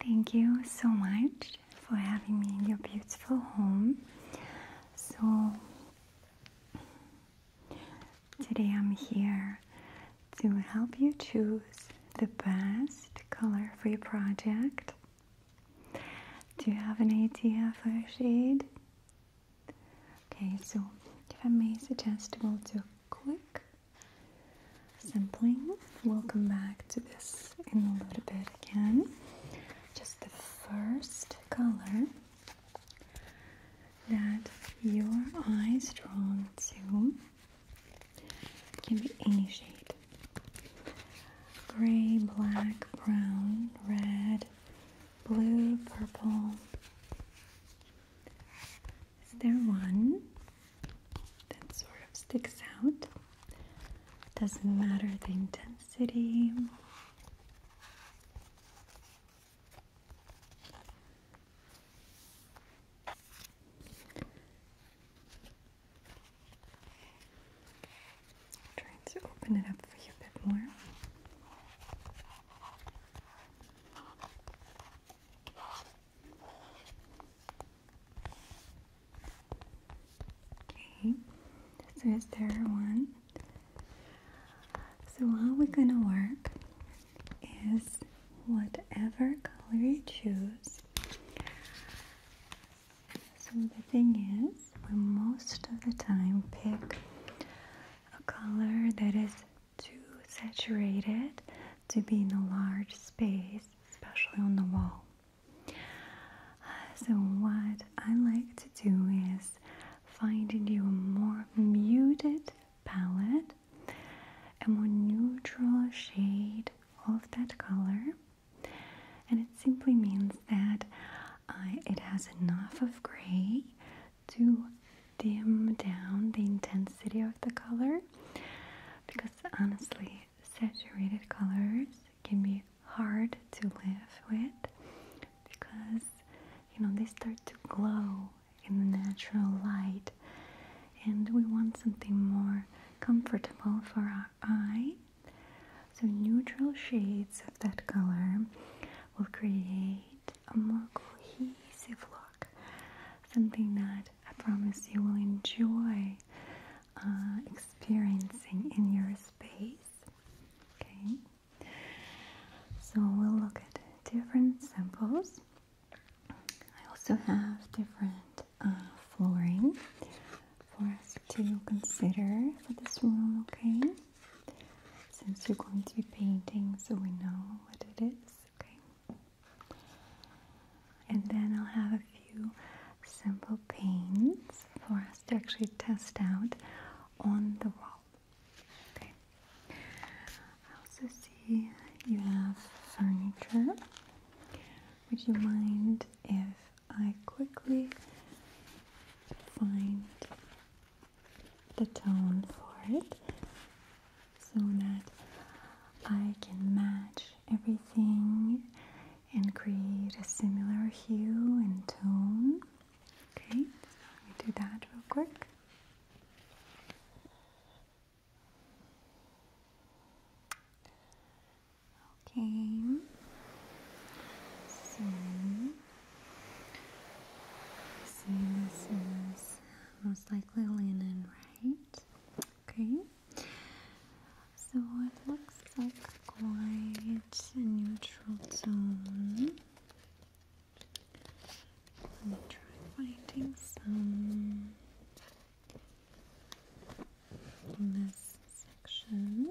Thank you so much for having me in your beautiful home. So, today I'm here to help you choose the best color for your project. Do you have an idea for a shade? Okay, so if I may suggest, we'll do quick Simply, We'll come back to this in a little bit again. Just the first color that your eyes drawn to can be any shade gray, black, brown, red, blue, purple. Is there one that sort of sticks out? Doesn't matter the intensity. Trying to open it up for you a bit more. Okay, so is there one? So how we're gonna work is whatever color you choose. So the thing is, we most of the time pick a color that is too saturated to be in a large space, especially on the wall. So, what I like to do is finding you a more muted palette, a more neutral shade of that color, and it simply means that it has enough of gray to dim down the intensity of the color because honestly, saturated colors can be hard to live with because you know they start to glow in the natural light, and we want something more comfortable for our eye. So, neutral shades of that color will create a more cohesive look, something that I promise you will enjoy uh, experiencing in your space. Okay, so we'll look at different samples. I also have different uh, flooring for us to consider for this room. Okay, since you're going to be painting, so we know what it is. Okay. And then I'll have a few simple paints for us to actually test out on the wall. Okay. I also see you have furniture. Would you mind if I quickly find the tone for it? so that I can match everything and create a similar hue and tone. Okay, so let do that real quick. Okay, so see this is most likely linen, right? Okay, so it looks like quite a neutral tone. Let me try finding some in this section.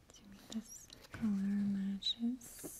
Assuming this color matches.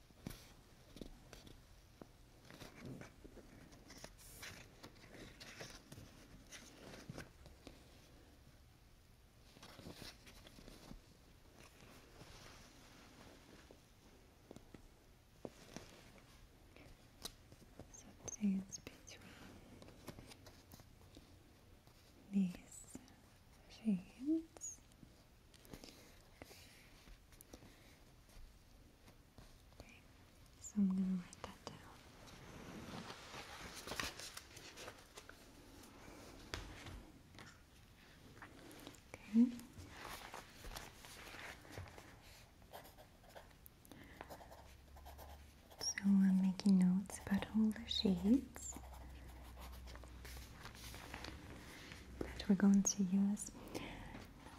Substance between these shades so I'm going to write that down. Okay. So I'm making notes about all the shades that we're going to use.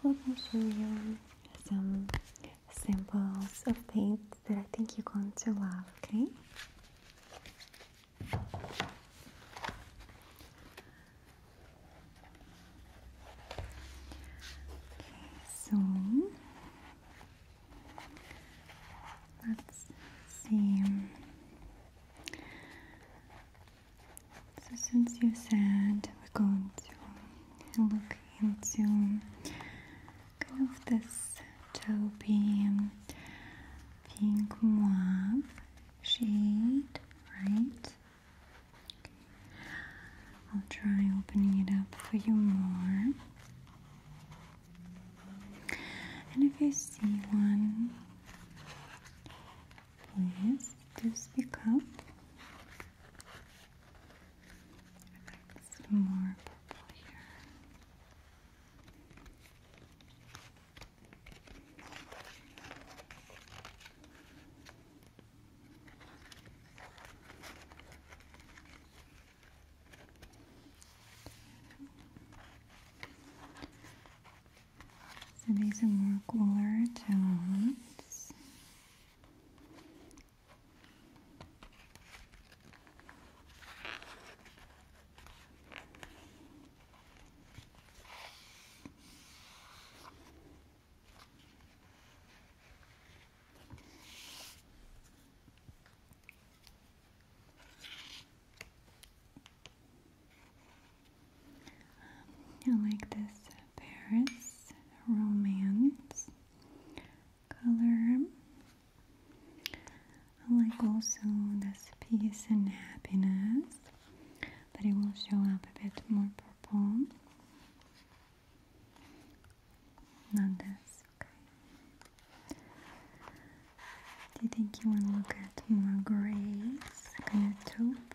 Now I'm show you some samples of paint that I think you're going to love, okay? Okay, so let's see. So since you said we're going to look into kind of this taupey pink mauve shade, right? I'll try opening it up for you more. And if you see one Please do speak up. more purple here. So these are more cooler tones. I like this Paris romance color. I like also this peace and happiness, but it will show up a bit more purple. Not this, okay. Do you think you want to look at more grays, kind of taupe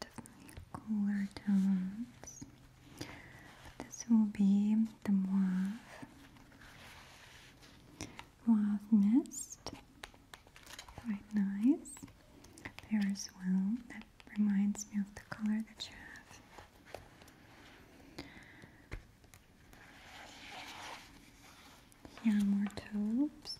definitely cooler tones. this will be the mauve, mauve mist. Quite nice there as well. That reminds me of the color that you have. Here are more topes.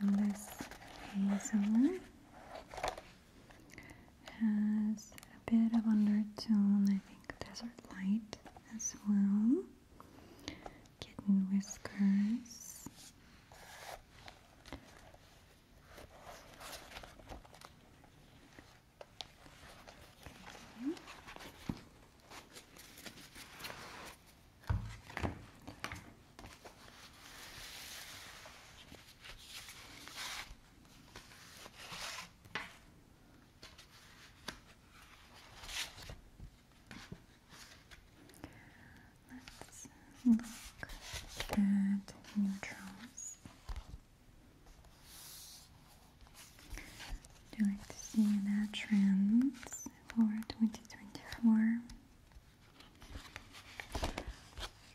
So this hazel has a bit of undertone, I think desert light as well kitten whiskers. Let's look at neutrals. Would you like to see the trends for 2024?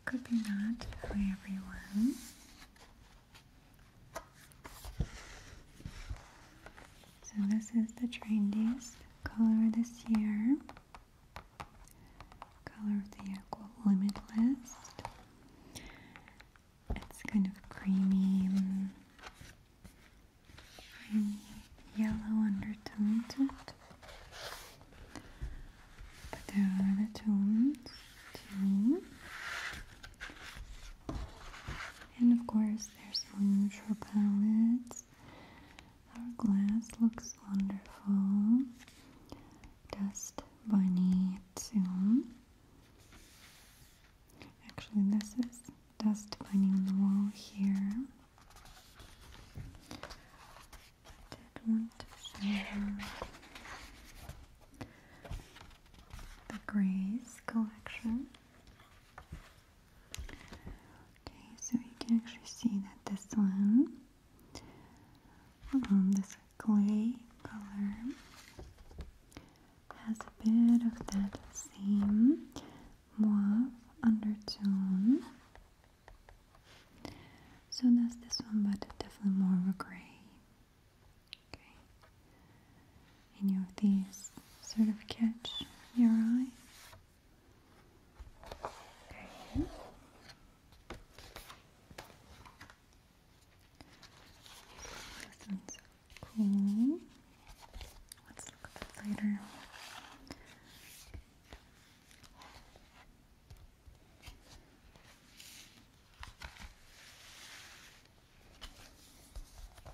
Could be not for everyone. So this is the trendiest color this year. Color of the year Limitless. It's kind of creamy, yellow undertone But there are the tones too. And of course, there's room neutral palettes. Our glass looks wonderful. Dust bunny too. Actually, this is dust bunny on the wall here. I did want to show the Grays collection. Okay, so you can actually see that this one, um, this clay color, has a bit of that same mauve undertone. So that's this one, but definitely more of a gray. Okay, any of these sort of catch your eye? This one's cool. Let's look at that later. I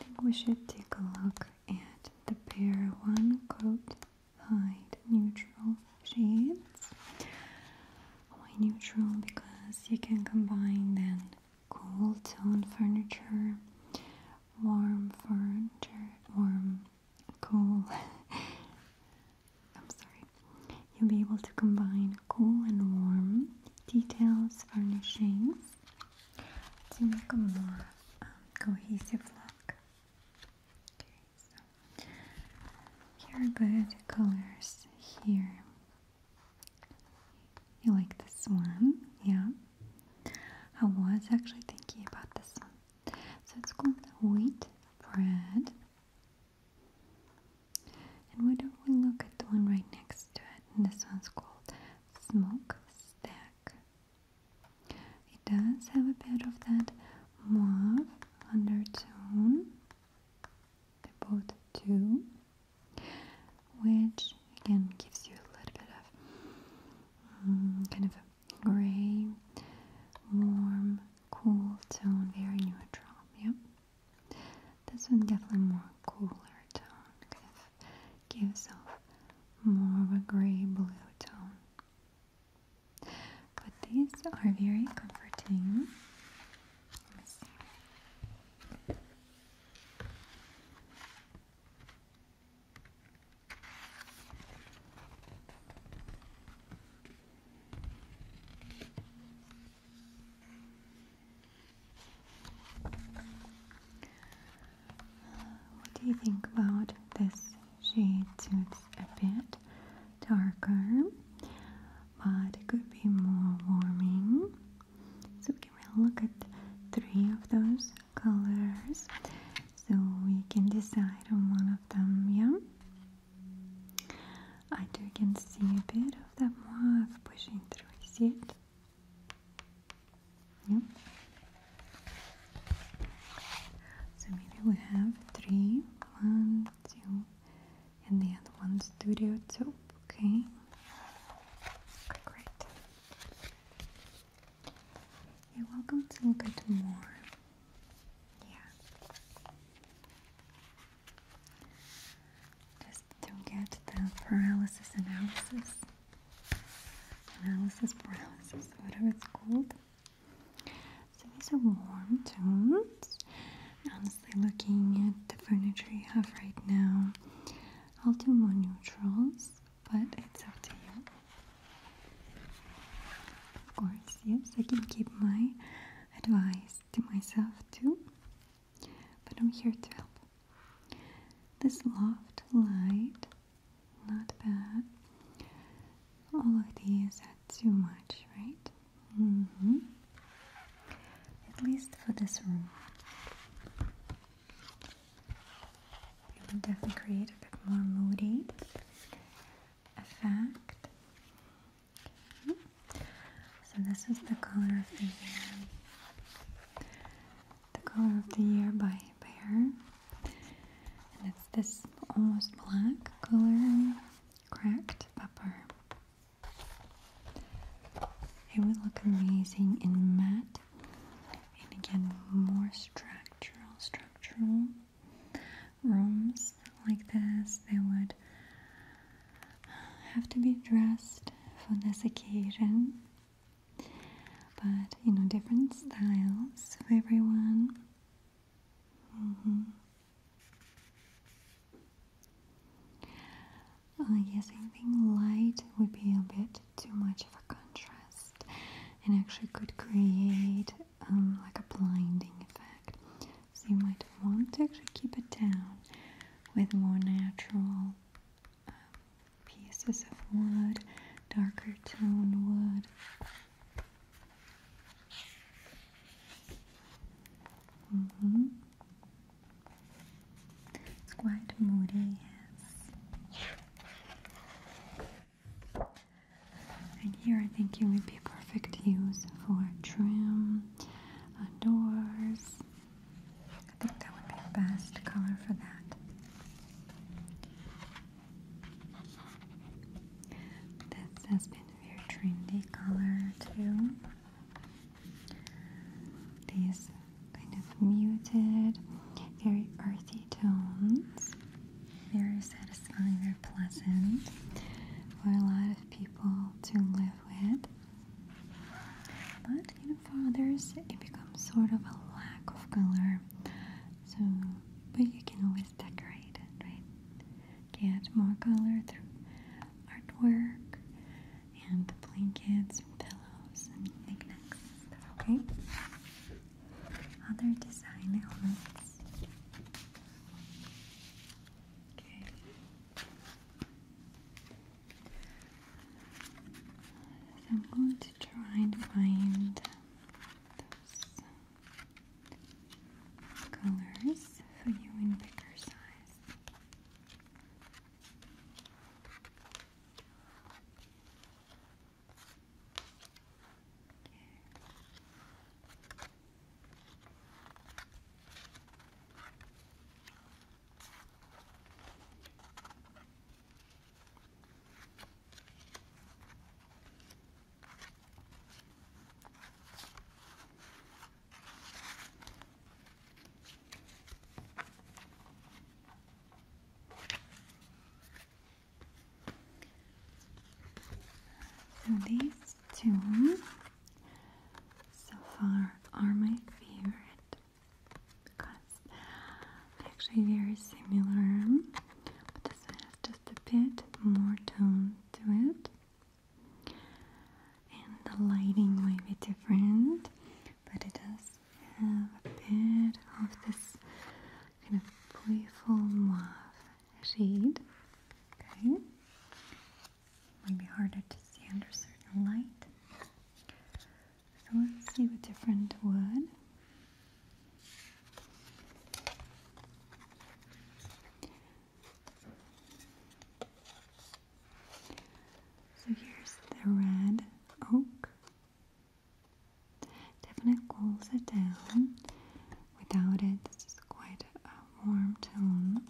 think we should take a look at the pair one coat hide neutral shades. Why neutral? Because you can combine then cool tone furniture, warm furniture, warm cool. I'm sorry. You'll be able to combine cool and warm details, furnishings to make a more um, cohesive look. Okay, so here are good colors here. You like this one? Yeah. I was actually thinking about this one. So it's called wheat bread. And why don't we look at the one right next to it? And this one's called Smoke stack. It does have a bit of that mauve undertone, the boat too, which again gives you a little bit of mm, kind of a gray, warm, cool tone, very neutral. Yeah, this one definitely more cooler tone, gives off more of a grey blue tone. But these are very comforting. What do you think about this shade? It's a bit darker, but it could be more warming. So we can really look at three of those colors, so we can decide on one of them. Yeah. I do can see a bit of that mauve pushing through. See it? Yeah. So maybe we have three, one, two, and the one studio too. Okay. great. You're welcome to look at more. Yeah. Just to get the paralysis analysis analysis paralysis, whatever it's called. So these are warm tones. Honestly, looking at the furniture you have right now, I'll do more neutrals, but it's up to you. Of course, yes, I can keep my advice to myself too, but I'm here to help. This loft light, not bad. All of these are too much, right? Mm-hmm. At least for this room. definitely create a bit more moody effect. Hmm. So this is the color of the the Color of the Year by Bear. And it's this almost black color, cracked pepper. It would look amazing in matte. And again, more structural, structural rooms like this. They would have to be dressed for this occasion. But you know, different styles for everyone. Mm -hmm. uh, yes, I think light would be a bit too much of a contrast, and actually could create um, like a blinding effect. So you might want to actually keep it down with more natural um, pieces of wood, darker tone wood. Mm-hmm. It's quite moody, yes. And here I think it would be perfect use for trim, uh, doors, I think that would be the best color for that. This has been a very trendy color too. These kind of muted, very earthy tones. Very satisfying, very pleasant for a lot of people to live with. But and for others it becomes sort of a lack of color. So, but you can always decorate right? Get more color through artwork and blankets and pillows and knickknacks and stuff, okay? Other design elements. Okay. I'm going to try and find those colors for you in bigger size. So these two so far are my favorite because actually very similar, but this one has just a bit more tone to it, and the lighting might be different, but it does have a bit of this kind of playful mauve shade. Okay, might be harder to see under certain light let's see a different wood. So here's the red oak. Definitely cools it down. Without it, this is quite a warm tone.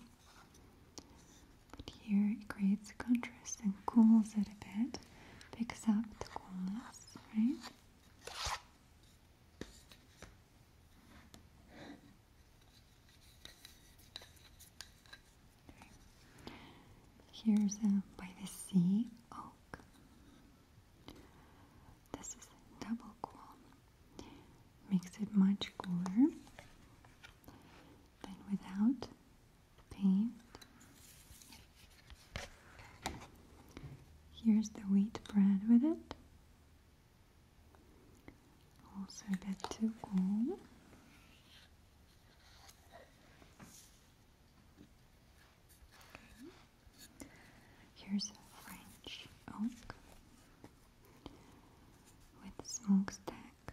But here it creates contrast and cools it a bit picks up the coolness, right? Here's a by the sea oak. This is double cool. Makes it much cooler than without Here's the wheat bread with it. Also that to Here's a French oak with stack.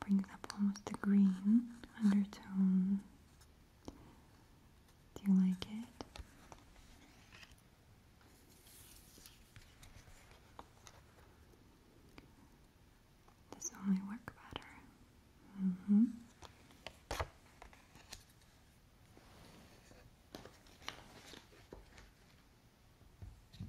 Brings up almost a green undertone. Do you like it? This only work better. Mm -hmm. Okay.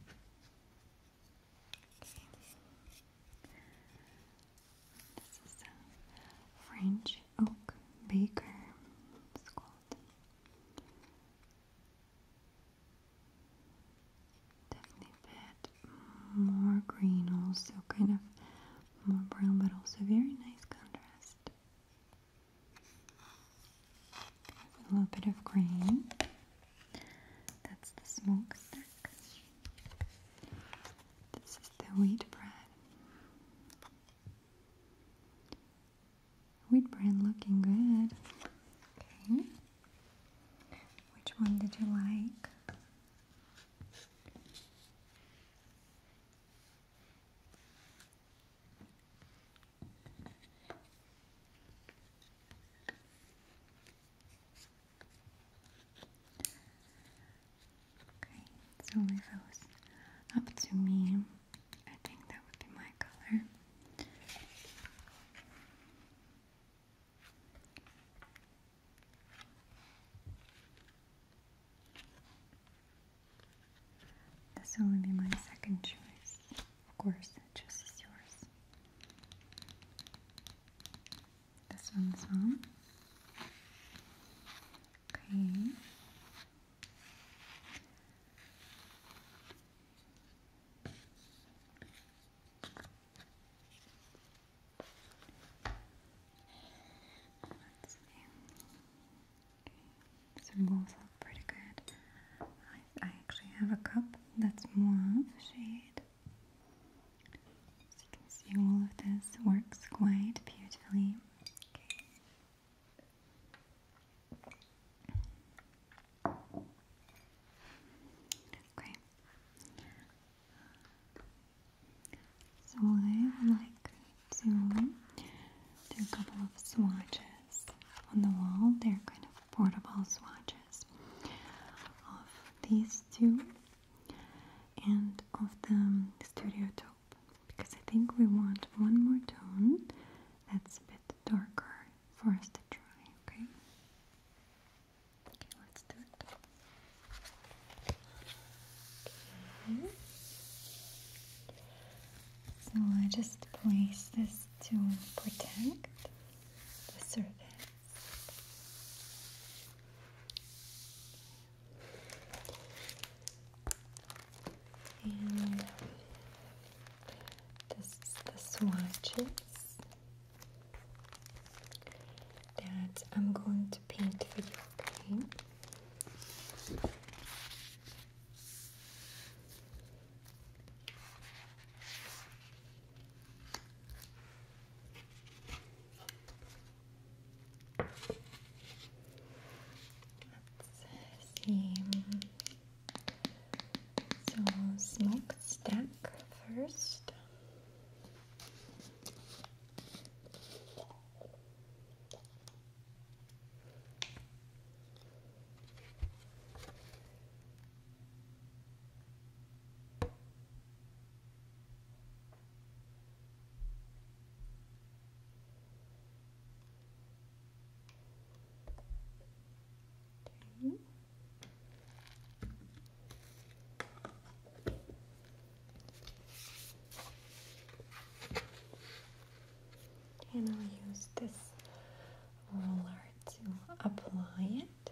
French Oak Baker Squad. Definitely fit more green, also kind of more brown, but also very nice contrast a little bit of green. That's the smokestack. This is the wheat bread. Wheat bread looking good. Okay. Which one did you like? Okay, so if it was up to me, I think that would be my color. This will be my second choice. Of course, just chooses yours. This one, this Okay. Let's see. Okay. Symbols look pretty good. I actually have a cup that's more shade. As you can see, all of this works quite beautifully. Okay. So I would like to do a couple of swatches on the wall. They're kind of portable swatches of these two and of the Studio Top because I think we want one more tone that's a bit darker for us to try, okay? Okay, let's do it. Okay. So I just place this to protect the surface. And this is the swatches that I'm going to paint for you, okay? Let's see. So smokestack first. And I'll use this roller to apply it.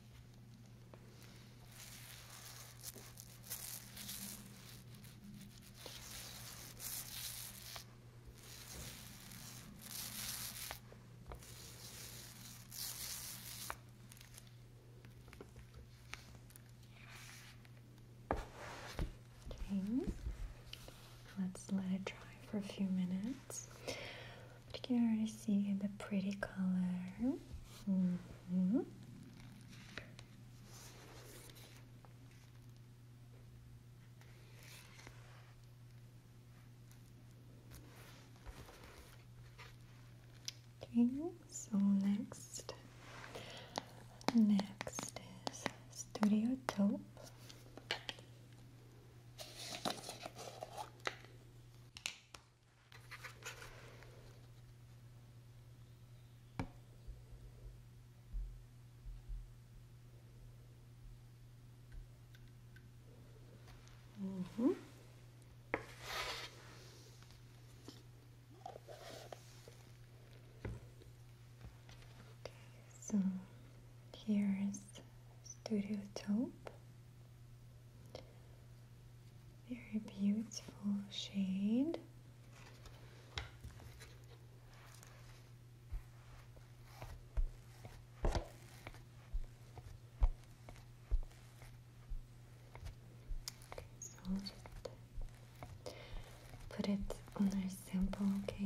Okay, let's let it dry for a few minutes. But you can already see the pretty color. Mm. Mm-hmm. Okay, so next, next is Studio Taupe. Mm -hmm. Okay, so here is Studio Taupe. Very beautiful shade. So I'll put it on our sample, okay?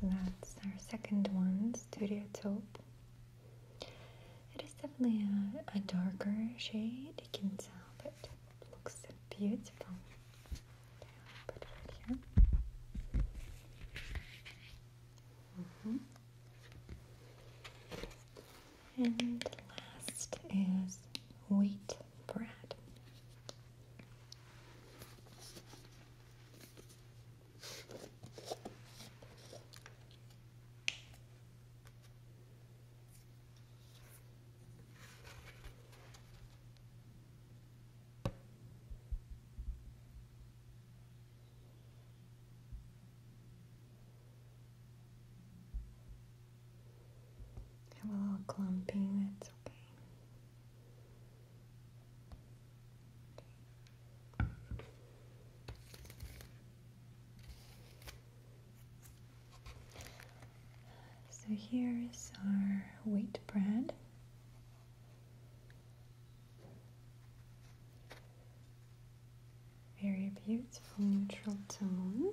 So that's our second one, Studio Top. It is definitely a, a darker shade, you can tell, but Looks so beautiful. Mm-hmm. And last is wheat bread have a little clumping, that's okay. So here's our wheat bread. Very beautiful neutral tone.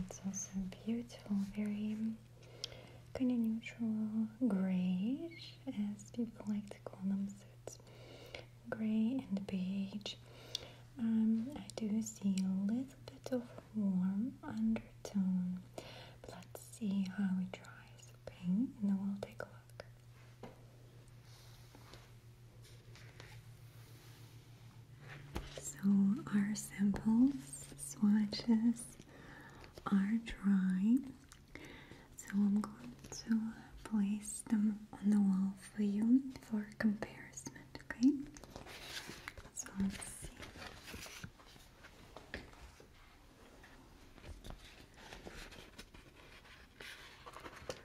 it's also beautiful, very kind of neutral grayish, as people like to call them. So it's gray and beige. Um, I do see a little bit of warm undertone. let's see how it dries, okay? And then we'll take a look. So our samples, swatches are dry. So I'm going to place them on the wall for you for comparison, okay? So let's see.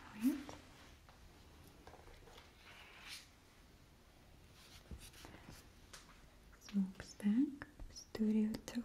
All right. Smokestack Studio Taupe.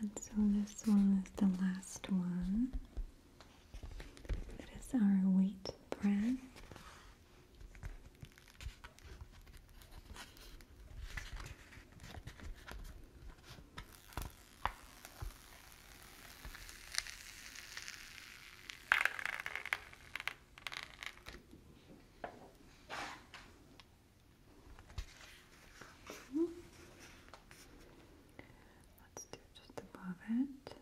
And so this one is the last one. It is our wheat bread. Let's do just above it.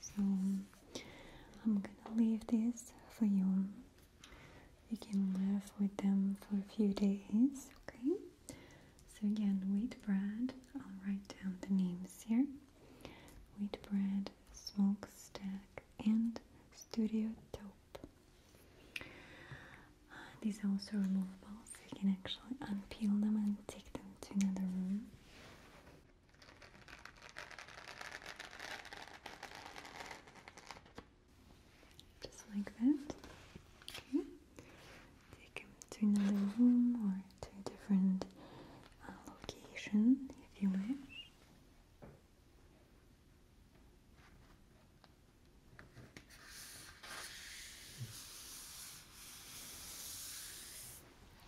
So I'm gonna leave this for you you can live with them for a few days, okay? So again, wheat bread, I'll write down the names here. Wheat bread, smoke stack, and studio taupe. Uh, these are also removable, so you can actually unpeel them and take them to another room. Just like that. Okay. Take him to another room or to a different uh, location if you wish.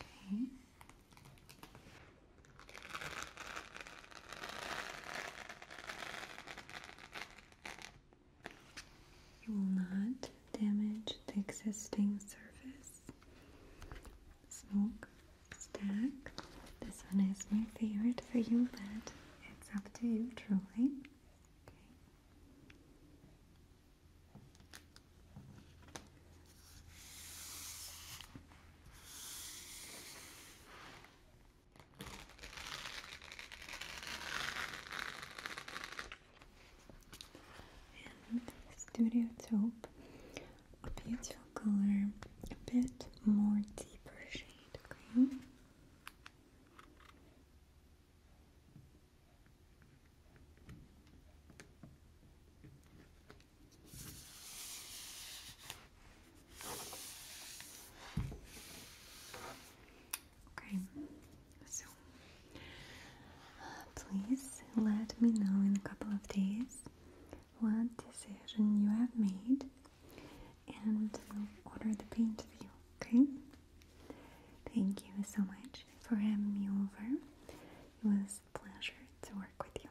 Okay. You will not damage the existing surface. Smoke stack. This one is my favorite for you, but it's up to you truly. Studio Taupe, a beautiful color, a bit more deeper shade, okay? Okay, so uh, please let me know in a couple of days what decision you have made, and order the paint for Okay, thank you so much for having me over. It was a pleasure to work with you.